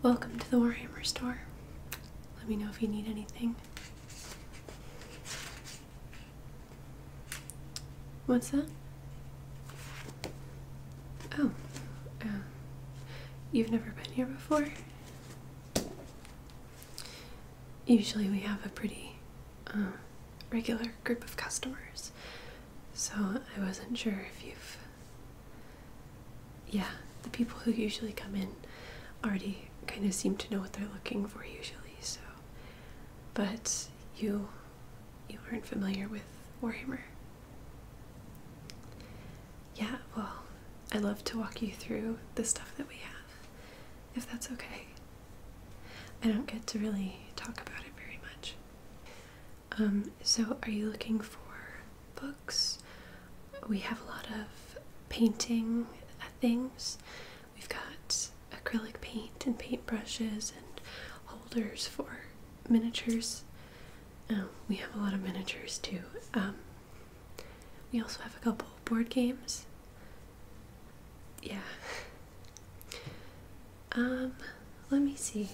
Welcome to the Warhammer store. Let me know if you need anything. What's that? Oh, uh, you've never been here before? Usually, we have a pretty um, regular group of customers, so I wasn't sure if you've. Yeah, the people who usually come in already kind of seem to know what they're looking for, usually, so. But you. You aren't familiar with Warhammer yeah, well, i love to walk you through the stuff that we have, if that's okay. I don't get to really talk about it very much. Um, so, are you looking for books? We have a lot of painting things. We've got acrylic paint and paint brushes and holders for miniatures. Um, we have a lot of miniatures too. Um, we also have a couple board games. Yeah. Um, let me see.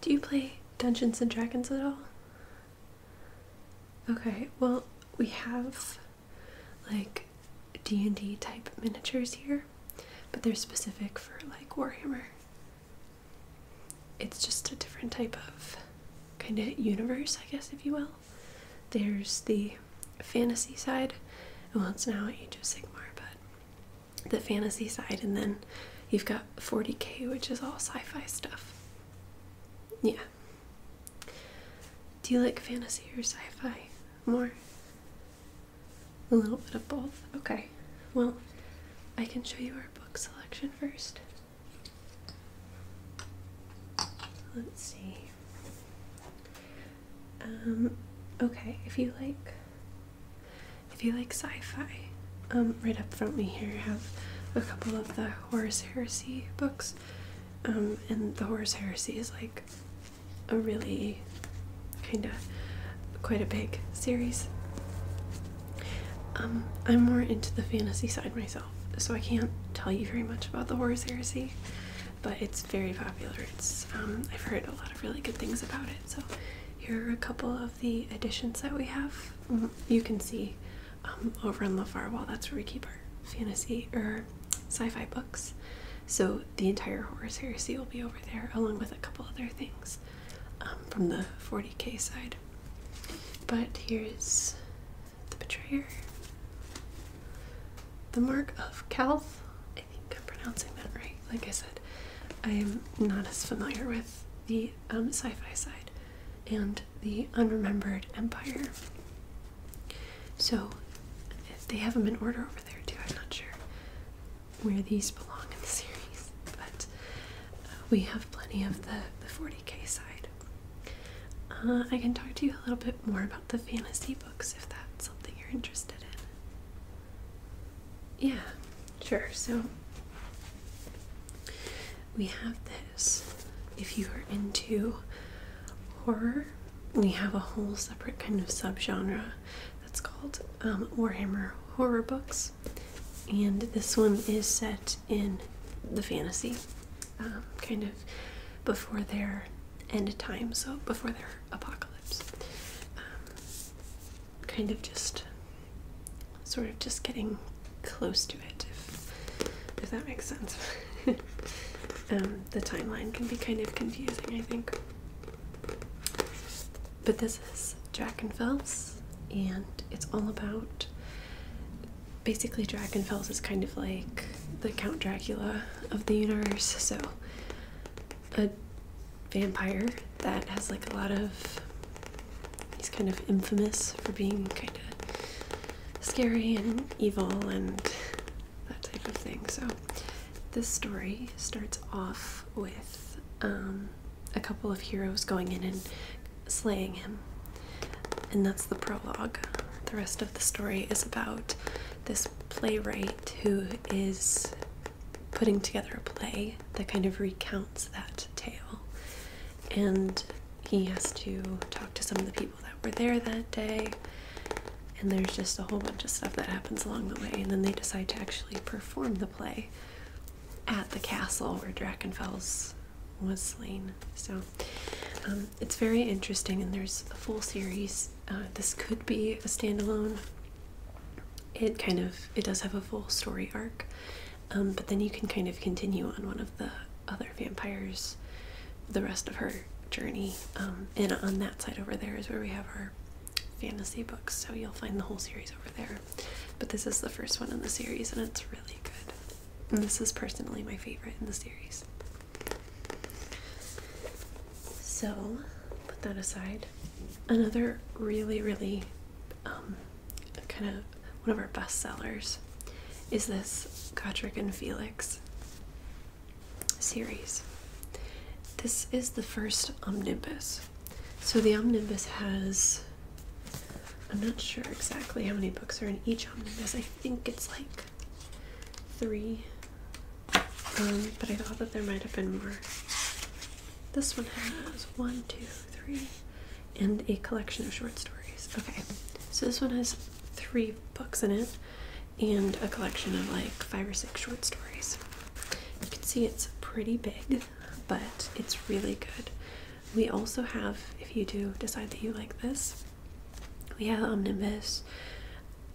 Do you play Dungeons and Dragons at all? Okay, well, we have like D&D type miniatures here, but they're specific for like Warhammer it's just a different type of kind of universe, I guess, if you will. There's the fantasy side, well, it's now Age of Sigmar, but the fantasy side, and then you've got 40k, which is all sci fi stuff. Yeah. Do you like fantasy or sci fi more? A little bit of both. Okay. Well, I can show you our book selection first. Let's see. Um, okay, if you like, if you like sci-fi, um, right up front we here have a couple of the Horus Heresy books, um, and the Horus Heresy is like a really kind of quite a big series. Um, I'm more into the fantasy side myself so I can't tell you very much about the Horus Heresy, but it's very popular. It's um, I've heard a lot of really good things about it. So here are a couple of the editions that we have. Mm, you can see um, over on the far wall. That's where we keep our fantasy or sci-fi books. So the entire Horus Heresy will be over there, along with a couple other things um, from the 40k side. But here's the Betrayer. The Mark of Calth. I think I'm pronouncing that right. Like I said, I am not as familiar with the um, sci fi side and the Unremembered Empire. So they have them in order over there too. I'm not sure where these belong in the series, but we have plenty of the, the 40k side. Uh, I can talk to you a little bit more about the fantasy books if that's something you're interested in. Yeah, sure. So we have this. If you are into horror, we have a whole separate kind of subgenre that's called um, Warhammer horror books. And this one is set in the fantasy, um, kind of before their end time, so before their apocalypse. Um, kind of just sort of just getting close to it, if, that makes sense. Um, the timeline can be kind of confusing, I think. But this is Jack and Phelps, and it's all about basically Drakenfels is kind of like the Count Dracula of the universe, so a vampire that has like a lot of he's kind of infamous for being kind of scary and evil and that type of thing. So this story starts off with um, a couple of heroes going in and slaying him. And that's the prologue. The rest of the story is about this playwright who is putting together a play that kind of recounts that tale. And he has to talk to some of the people that were there that day. And there's just a whole bunch of stuff that happens along the way. And then they decide to actually perform the play at the castle where Drakenfels was slain. So um, it's very interesting, and there's a full series. Uh, this could be a standalone. It kind of it does have a full story arc, um, but then you can kind of continue on one of the other vampires, the rest of her journey. Um, and on that side over there is where we have our fantasy books, so you'll find the whole series over there. But this is the first one in the series, and it's really good this is personally my favorite in the series. So, put that aside. Another really, really um, kind of one of our best sellers is this Godric and Felix series. This is the first omnibus. So, the omnibus has I'm not sure exactly how many books are in each omnibus. I think it's like three. Um, but I thought that there might have been more. This one has one, two, three, and a collection of short stories. Okay, so this one has three books in it and a collection of like five or six short stories. You can see it's pretty big, but it's really good. We also have, if you do decide that you like this, we have Omnibus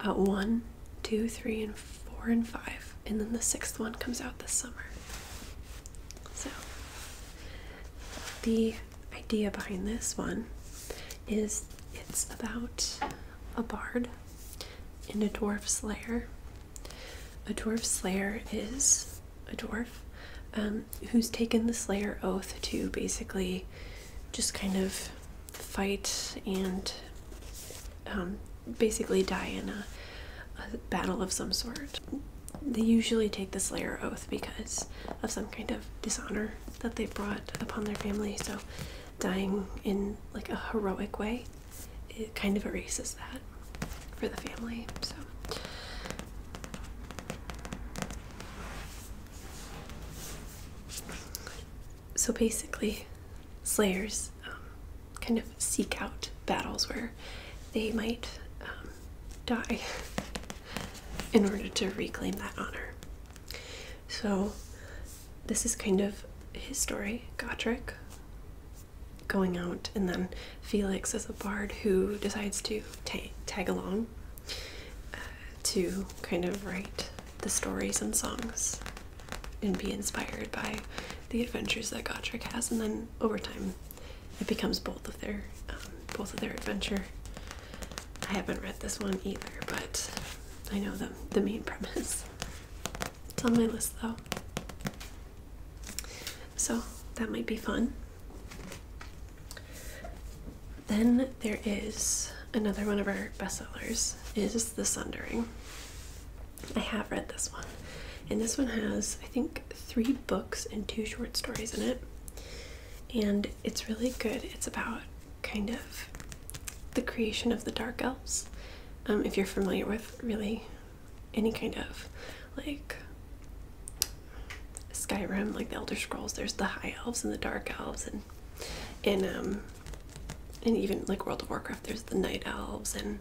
at uh, one, two, three, and four, and five, and then the sixth one comes out this summer. So, the idea behind this one is it's about a bard and a dwarf slayer. A dwarf slayer is a dwarf um, who's taken the Slayer oath to basically just kind of fight and um, basically die in a, battle of some sort. They usually take the Slayer oath because of some kind of dishonor that they brought upon their family, so dying in like a heroic way it kind of erases that for the family. So so basically, slayers um, kind of seek out battles where they might um, die in order to reclaim that honor. So, this is kind of his story, Gotrek going out, and then Felix as a bard who decides to ta tag along uh, to kind of write the stories and songs and be inspired by the adventures that Gotrek has, and then over time, it becomes both of their um, both of their adventure. I haven't read this one either, but I know the the main premise. It's on my list though, so that might be fun. Then there is another one of our bestsellers is The Sundering. I have read this one. And this one has, I think, three books and two short stories in it. And it's really good. It's about kind of the creation of the Dark Elves. Um, if you're familiar with really any kind of like Skyrim, like the Elder Scrolls, there's the High Elves and the Dark Elves, and in um, and even like World of Warcraft, there's the Night Elves and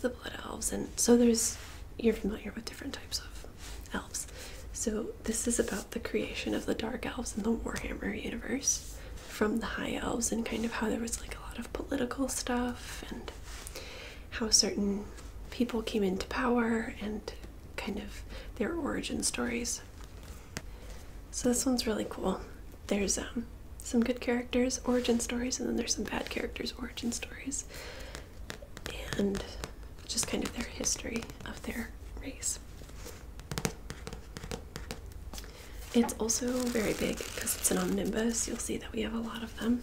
the Blood Elves, and so there's you're familiar with different types of elves. So this is about the creation of the Dark Elves in the Warhammer universe, from the High Elves, and kind of how there was like a lot of political stuff and how certain people came into power and kind of their origin stories. So this one's really cool. There's um, some good characters' origin stories, and then there's some bad characters' origin stories, and just kind of their history of their race. It's also very big because it's an omnibus. You'll see that we have a lot of them.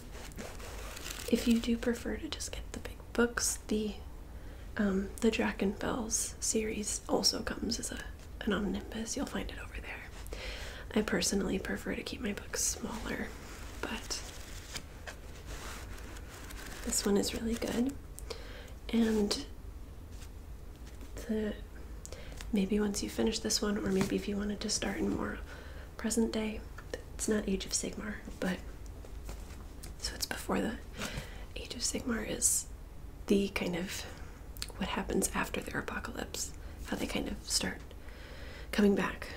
If you do prefer to just get the big books, the um, the Drakenfels series also comes as a an omnibus. You'll find it over there. I personally prefer to keep my books smaller, but this one is really good. And the maybe once you finish this one, or maybe if you wanted to start in more present day, it's not Age of Sigmar, but so it's before the Age of Sigmar is the kind of what happens after their apocalypse, how they kind of start coming back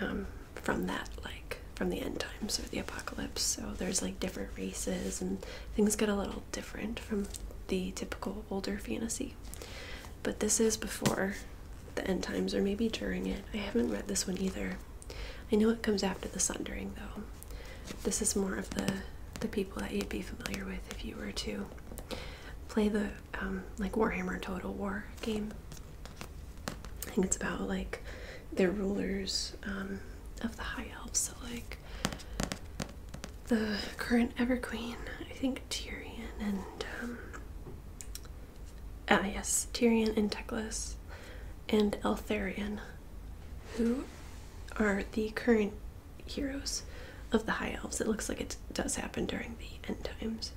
um, from that, like from the end times or the apocalypse. So there's like different races and things get a little different from the typical older fantasy. But this is before the end times or maybe during it. I haven't read this one either. I know it comes after the sundering though. This is more of the the people that you'd be familiar with if you were to play the um, like Warhammer Total War game. I think it's about like their rulers um, of the High Elves, so like the current Everqueen, I think Tyrion and um, ah yes, Tyrion and Teclis and Eltharion who are the current heroes of the High Elves. It looks like it does happen during the end times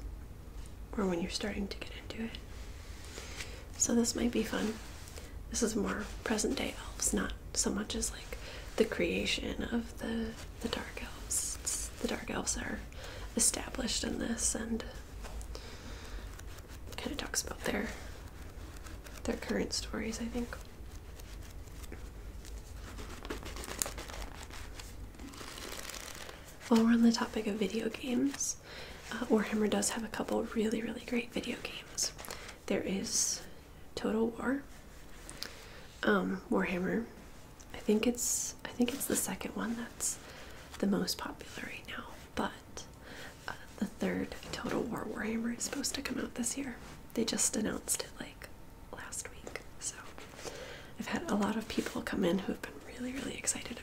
or when you're starting to get into it. So this might be fun. This is more present day elves, not so much as like the creation of the the dark elves. the dark elves are established in this and kind of talks about their their current stories, I think. While we're on the topic of video games, uh, Warhammer does have a couple really, really great video games. There is Total War, um, Warhammer. I think it's I think it's the second one that's the most popular right now, but the third Total War Warhammer is supposed to come out this year. They just announced it like last week. So I've had a lot of people come in who have been really, really excited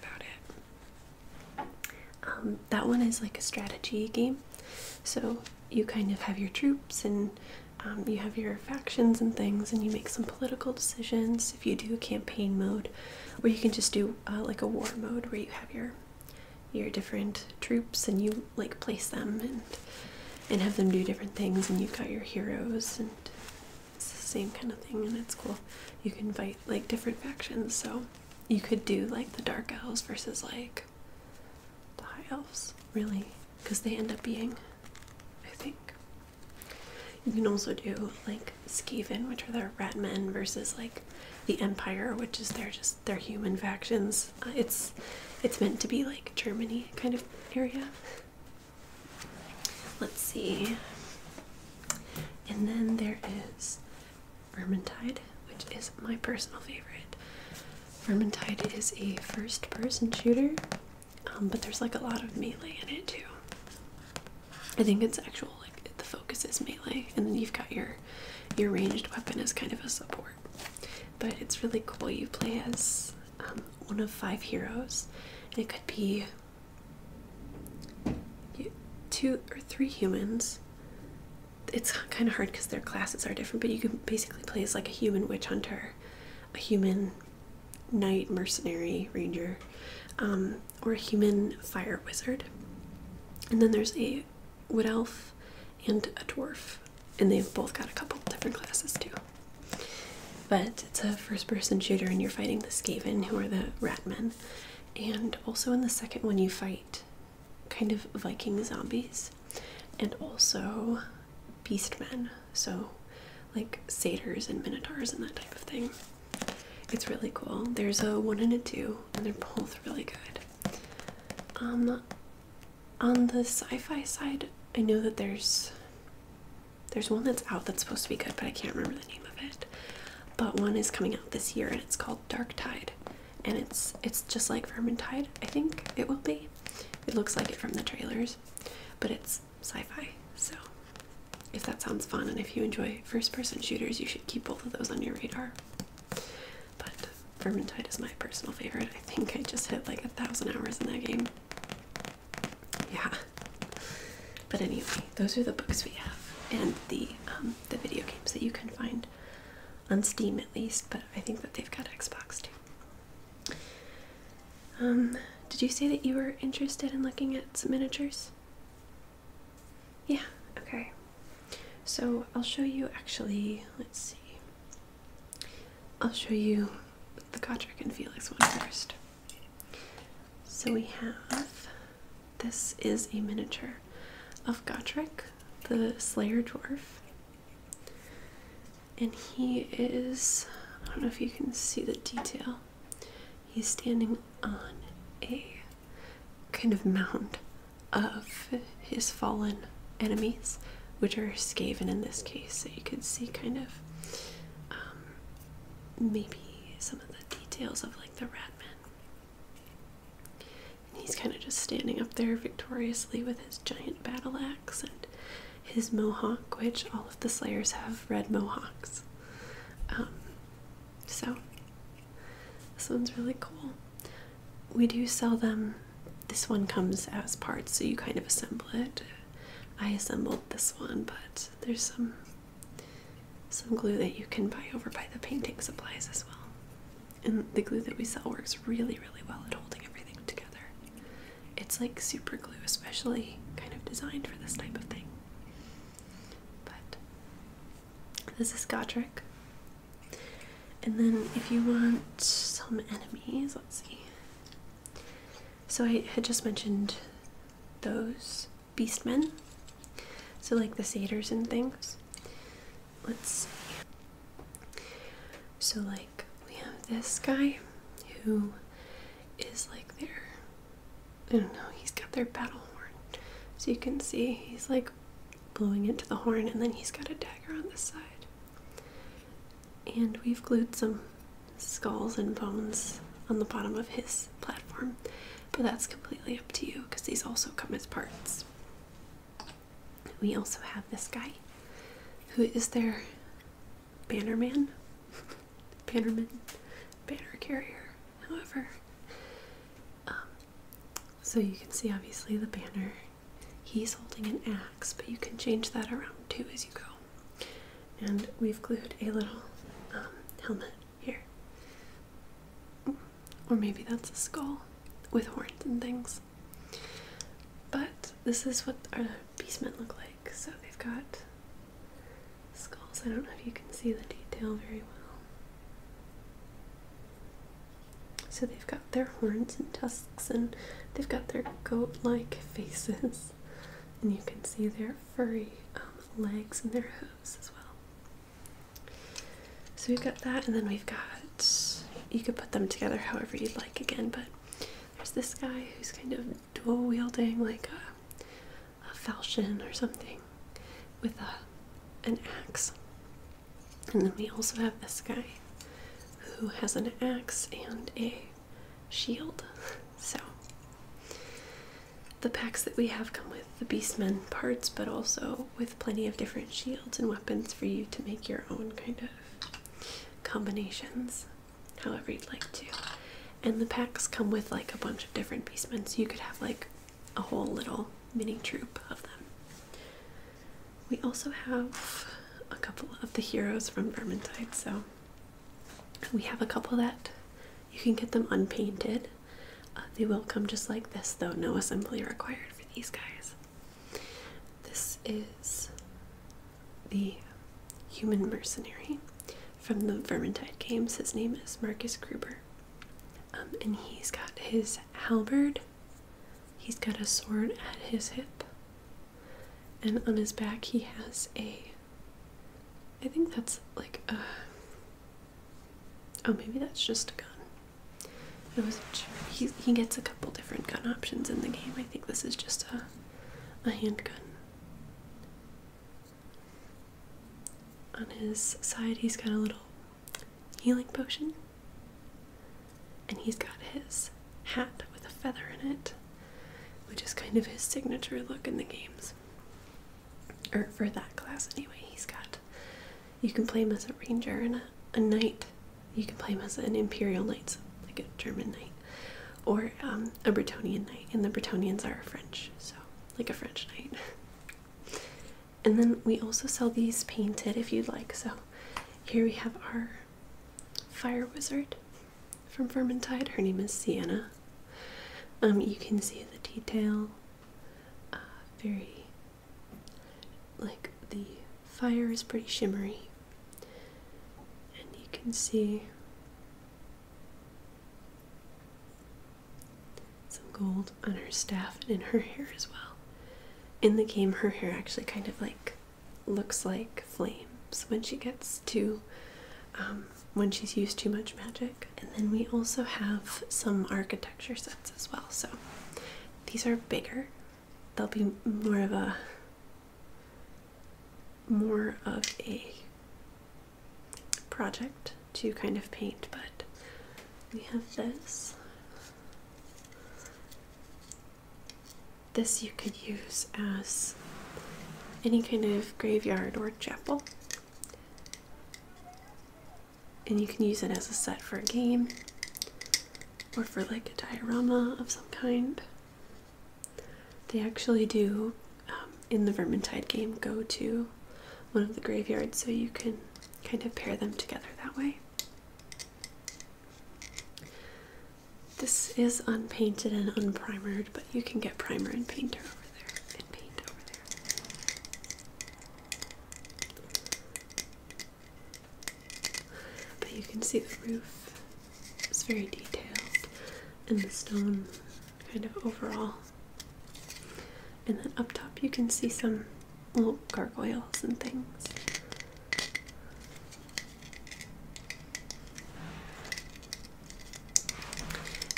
about it. Um, that one is like a strategy game. So you kind of have your troops and um, you have your factions and things, and you make some political decisions if you do a campaign mode, or you can just do uh, like a war mode where you have your your different troops and you like place them and and have them do different things and you've got your heroes and it's the same kind of thing and it's cool. You can fight like different factions so you could do like the dark elves versus like the high elves really because they end up being I think. You can also do like Skaven, which are the rat men versus like the Empire, which is their just their human factions. Uh, it's it's meant to be like Germany kind of area. Let's see. And then there is Vermintide, which is my personal favorite. Vermintide is a first person shooter, um, but there's like a lot of melee in it too. I think it's actually the focus is melee, and then you've got your your ranged weapon as kind of a support. But it's really cool. You play as um, one of five heroes, it could be two or three humans. It's kind of hard because their classes are different, but you can basically play as like a human witch hunter, a human knight mercenary ranger, um, or a human fire wizard. And then there's a a wood elf and a dwarf, and they've both got a couple different classes too. But it's a first-person shooter, and you're fighting the Skaven, who are the rat men, and also in the second one you fight kind of Viking zombies, and also beast men. So, like satyrs and minotaurs and that type of thing. It's really cool. There's a one and a two, and oh, they're both really good. Um, on the sci-fi side, I know that there's there's one that's out that's supposed to be good, but I can't remember the name of it. But one is coming out this year, and it's called Dark Tide, and it's it's just like Vermintide. I think it will be. It looks like it from the trailers, but it's sci-fi. So, if that sounds fun, and if you enjoy first-person shooters, you should keep both of those on your radar. But Vermintide is my personal favorite. I think I just hit like a thousand hours in that game. Yeah. But anyway, those are the books we have and the um, the video games that you can find on Steam at least, but I think that they've got Xbox too. Um, did you say that you were interested in looking at some miniatures? Yeah, okay. So I'll show you actually, let's see. I'll show you the Godric and Felix one first. So we have this is a miniature of Godric, the Slayer dwarf. And he is, I don't know if you can see the detail, he's standing on a kind of mound of his fallen enemies, which are Skaven in this case. So you could see kind of um, maybe some of the details of like the Ratman. he's kind of just standing up there victoriously with his giant battle axe and his mohawk, which all of the Slayers have red mohawks. Um, so, this one's really cool we do sell them. This one comes as parts, so you kind of assemble it. I assembled this one, but there's some some glue that you can buy over by the painting supplies as well. And the glue that we sell works really, really well at holding everything together. It's like super glue, especially kind of designed for this type of thing. But this is Godric. And then if you want some enemies, let's see. So I had just mentioned those beastmen. So like the satyrs and things. Let's see. So like we have this guy who is like their I don't know, he's got their battle horn. So you can see he's like blowing into the horn, and then he's got a dagger on this side. And we've glued some skulls and bones on the bottom of his platform, but that's completely up to you because these also come as parts. We also have this guy who is their bannerman, bannerman, banner carrier, however. Um, so you can see obviously the banner He's holding an axe, but you can change that around too as you go. And we've glued a little um, helmet here. Or maybe that's a skull with horns and things. But this is what our beastmen look like. So they've got skulls. I don't know if you can see the detail very well. So they've got their horns and tusks, and they've got their goat like faces, and you can see their furry um, legs and their hooves as well. So we've got that, and then we've got you could put them together however you'd like again, but there's this guy who's kind of dual wielding like a, a falchion or something with a, an axe. And then we also have this guy who has an axe and a shield. So the packs that we have come with the beastmen parts, but also with plenty of different shields and weapons for you to make your own kind of combinations, however you'd like to. And the packs come with like a bunch of different beastmen, so you could have like a whole little mini troop of them. We also have a couple of the heroes from Vermintide, so we have a couple that you can get them unpainted. Uh, they will come just like this, though, no assembly required for these guys. This is the human mercenary from the Vermintide games. His name is Marcus Gruber. Um, and he's got his halberd He's got a sword at his hip, and on his back he has a. I think that's like a. Oh, maybe that's just a gun. I wasn't sure. He, he gets a couple different gun options in the game. I think this is just a, a handgun. On his side, he's got a little healing potion. And he's got his hat with a feather in it, which is kind of his signature look in the games. Or for that class, anyway, he's got. You can play him as a ranger and a, knight. You can play him as an imperial knight, like a German knight, or um, a Bretonian knight. And the Bretonians are French, so like a French knight. and then we also sell these painted if you'd like. So here we have our fire wizard from Vermintide. Her name is Sienna. Um, you can see the detail, uh, very like the fire is pretty shimmery, and you can see some gold on her staff and in her hair as well in the game her hair actually kind of like looks like flames when she gets too um, when she's used too much magic and then we also have some architecture sets as well so these are bigger they'll be more of a more of a project to kind of paint but we have this this you could use as any kind of graveyard or chapel. And you can use it as a set for a game or for like a diorama of some kind. They actually do, um, in the Vermintide game, go to one of the graveyards so you can kind of pair them together that way. This is unpainted and unprimered, but you can get primer and painter over there paint over there. But you can see the roof is very detailed and the stone kind of overall. And then up top you can see some little gargoyles and things.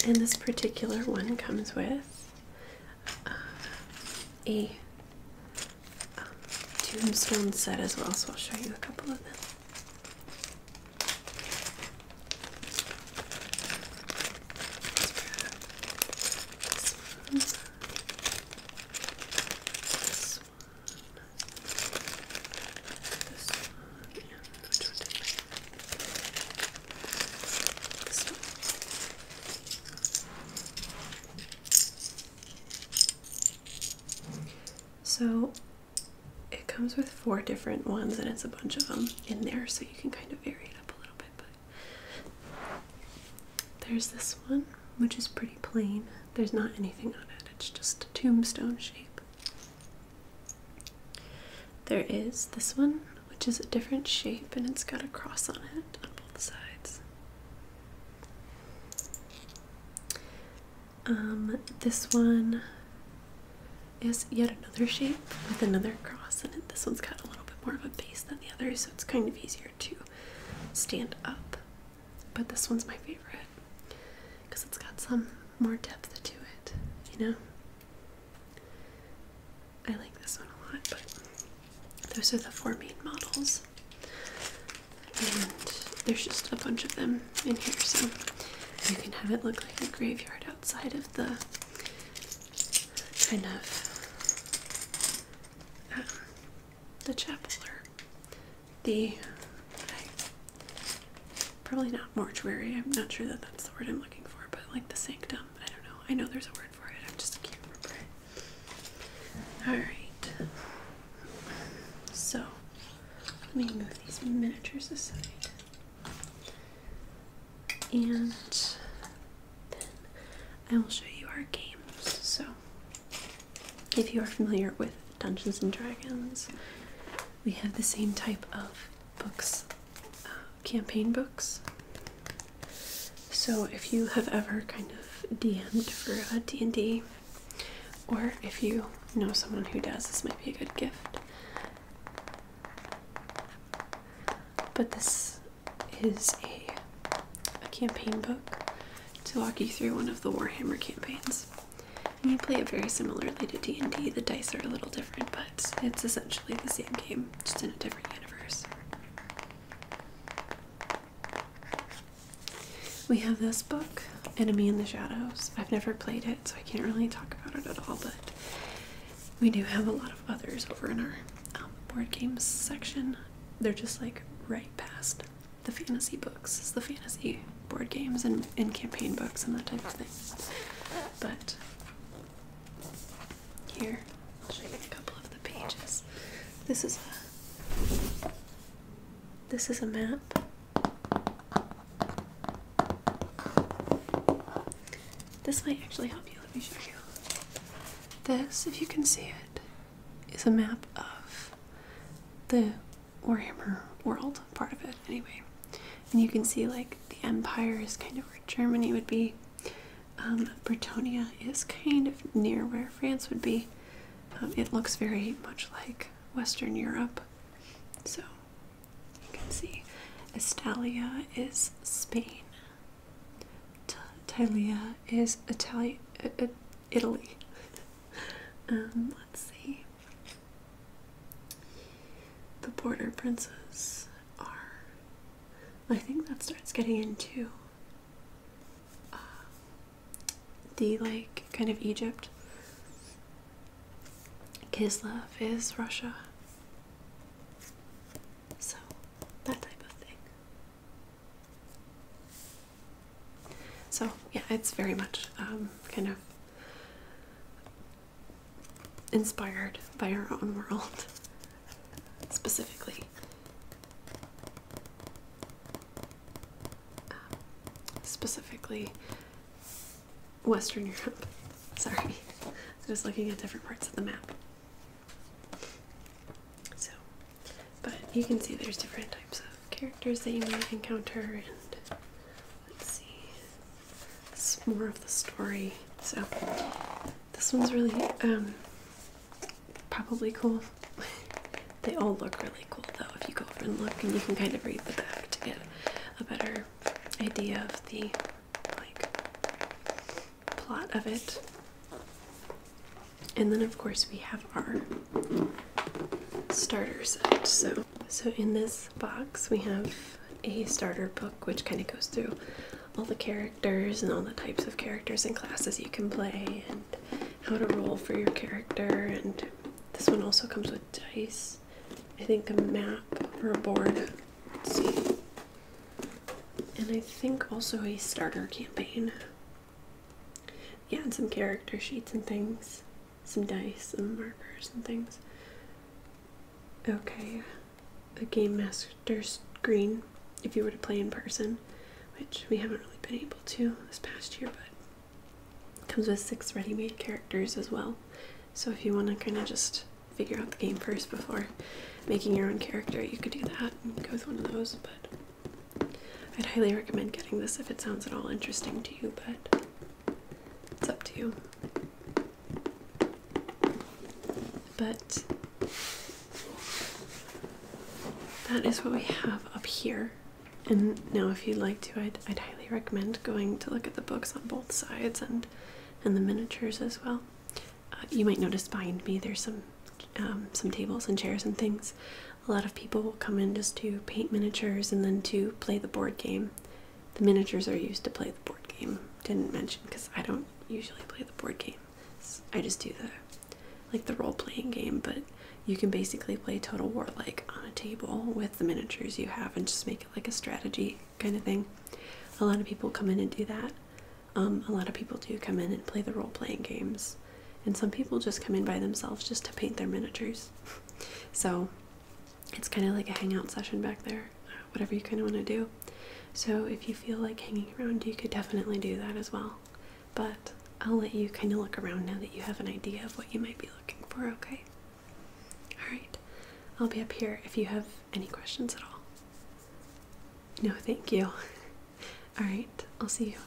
And this particular one comes with uh, a um, tombstone set as well, so I'll show you a couple of them. So it comes with four different ones, and it's a bunch of them in there, so you can kind of vary it up a little bit. But there's this one, which is pretty plain. There's not anything on it, it's just a tombstone shape. There is this one, which is a different shape and it's got a cross on it on both sides. Um, this one is yet another shape with another cross and This one's got a little bit more of a base than the other, so it's kind of easier to stand up. But this one's my favorite because it's got some more depth to it, you know? I like this one a lot, but those are the four main models. And there's just a bunch of them in here, so you can have it look like a graveyard outside of the kind of um, the Chapeler, the probably not mortuary. I'm not sure that that's the word I'm looking for, but like the sanctum. I don't know. I know there's a word for it. I just can't remember it. All right. So let me move these miniatures aside. And then I will show you our games. So if you are familiar with Dungeons and Dragons, we have the same type of books, uh, campaign books. So if you have ever kind of DM'd for D&D, or if you know someone who does, this might be a good gift. But this is a a campaign book to walk you through one of the Warhammer campaigns. And you play it very similarly to D&D. The dice are a little different, but it's essentially the same game, just in a different universe. We have this book, Enemy in the Shadows. I've never played it, so I can't really talk about it at all, but we do have a lot of others over in our um, board games section. They're just like right past the fantasy books, the fantasy board games and, and campaign books and that type of thing. But here, I'll show you a couple of the pages. This is a this is a map. This might actually help you. Let me show you. This, if you can see it, is a map of the Warhammer world part of it, anyway. And you can see like the Empire is kind of where Germany would be. Um, is kind of near where France would be. Um, it looks very much like Western Europe. So you can see Estalia is Spain. T Italia is Itali uh, uh, Italy. Um, let's see. The Border Princes are. I think that starts getting into uh, the like kind of Egypt. Kislev is Russia. So, that type of thing. So yeah, it's very much um, kind of inspired by our own world specifically. Um, specifically Western Europe. Sorry, I'm just looking at different parts of the map. So but you can see there's different types of characters that you might encounter, and let's see, more of the story. So this one's really um, probably cool. they all look really cool though if you go over and look, and you can kind of read the back to get a better idea of the like plot of it. And then of course we have our starter set. So so in this box we have a starter book which kind of goes through all the characters and all the types of characters and classes you can play and how to roll for your character and this one also comes with dice. I think a map or a board. see. And I think also a starter campaign. Yeah, and some character sheets and things, some dice and markers and things. Okay, a game master screen if you were to play in person, which we haven't really been able to this past year, but comes with six ready made characters as well. So if you want to kind of just figure out the game first before making your own character, you could do that and go with one of those, but I'd highly recommend getting this if it sounds at all interesting to you, but it's up to you. But that is what we have up here. And now, if you'd like to, I'd, I'd highly recommend going to look at the books on both sides and and the miniatures as well. Uh, you might notice behind me there's some um, some tables and chairs and things a lot of people will come in just to paint miniatures and then to play the board game. The miniatures are used to play the board game. Didn't mention because I don't usually play the board game. I just do the like the role-playing game, but you can basically play Total War like on a table with the miniatures you have and just make it like a strategy kind of thing. A lot of people come in and do that. Um, a lot of people do come in and play the role-playing games and some people just come in by themselves just to paint their miniatures. So it's kind of like a hangout session back there, whatever you kind of want to do. So if you feel like hanging around, you could definitely do that as well. But I'll let you kind of look around now that you have an idea of what you might be looking for, okay? Alright, I'll be up here if you have any questions at all. No, thank you. Alright, I'll see you.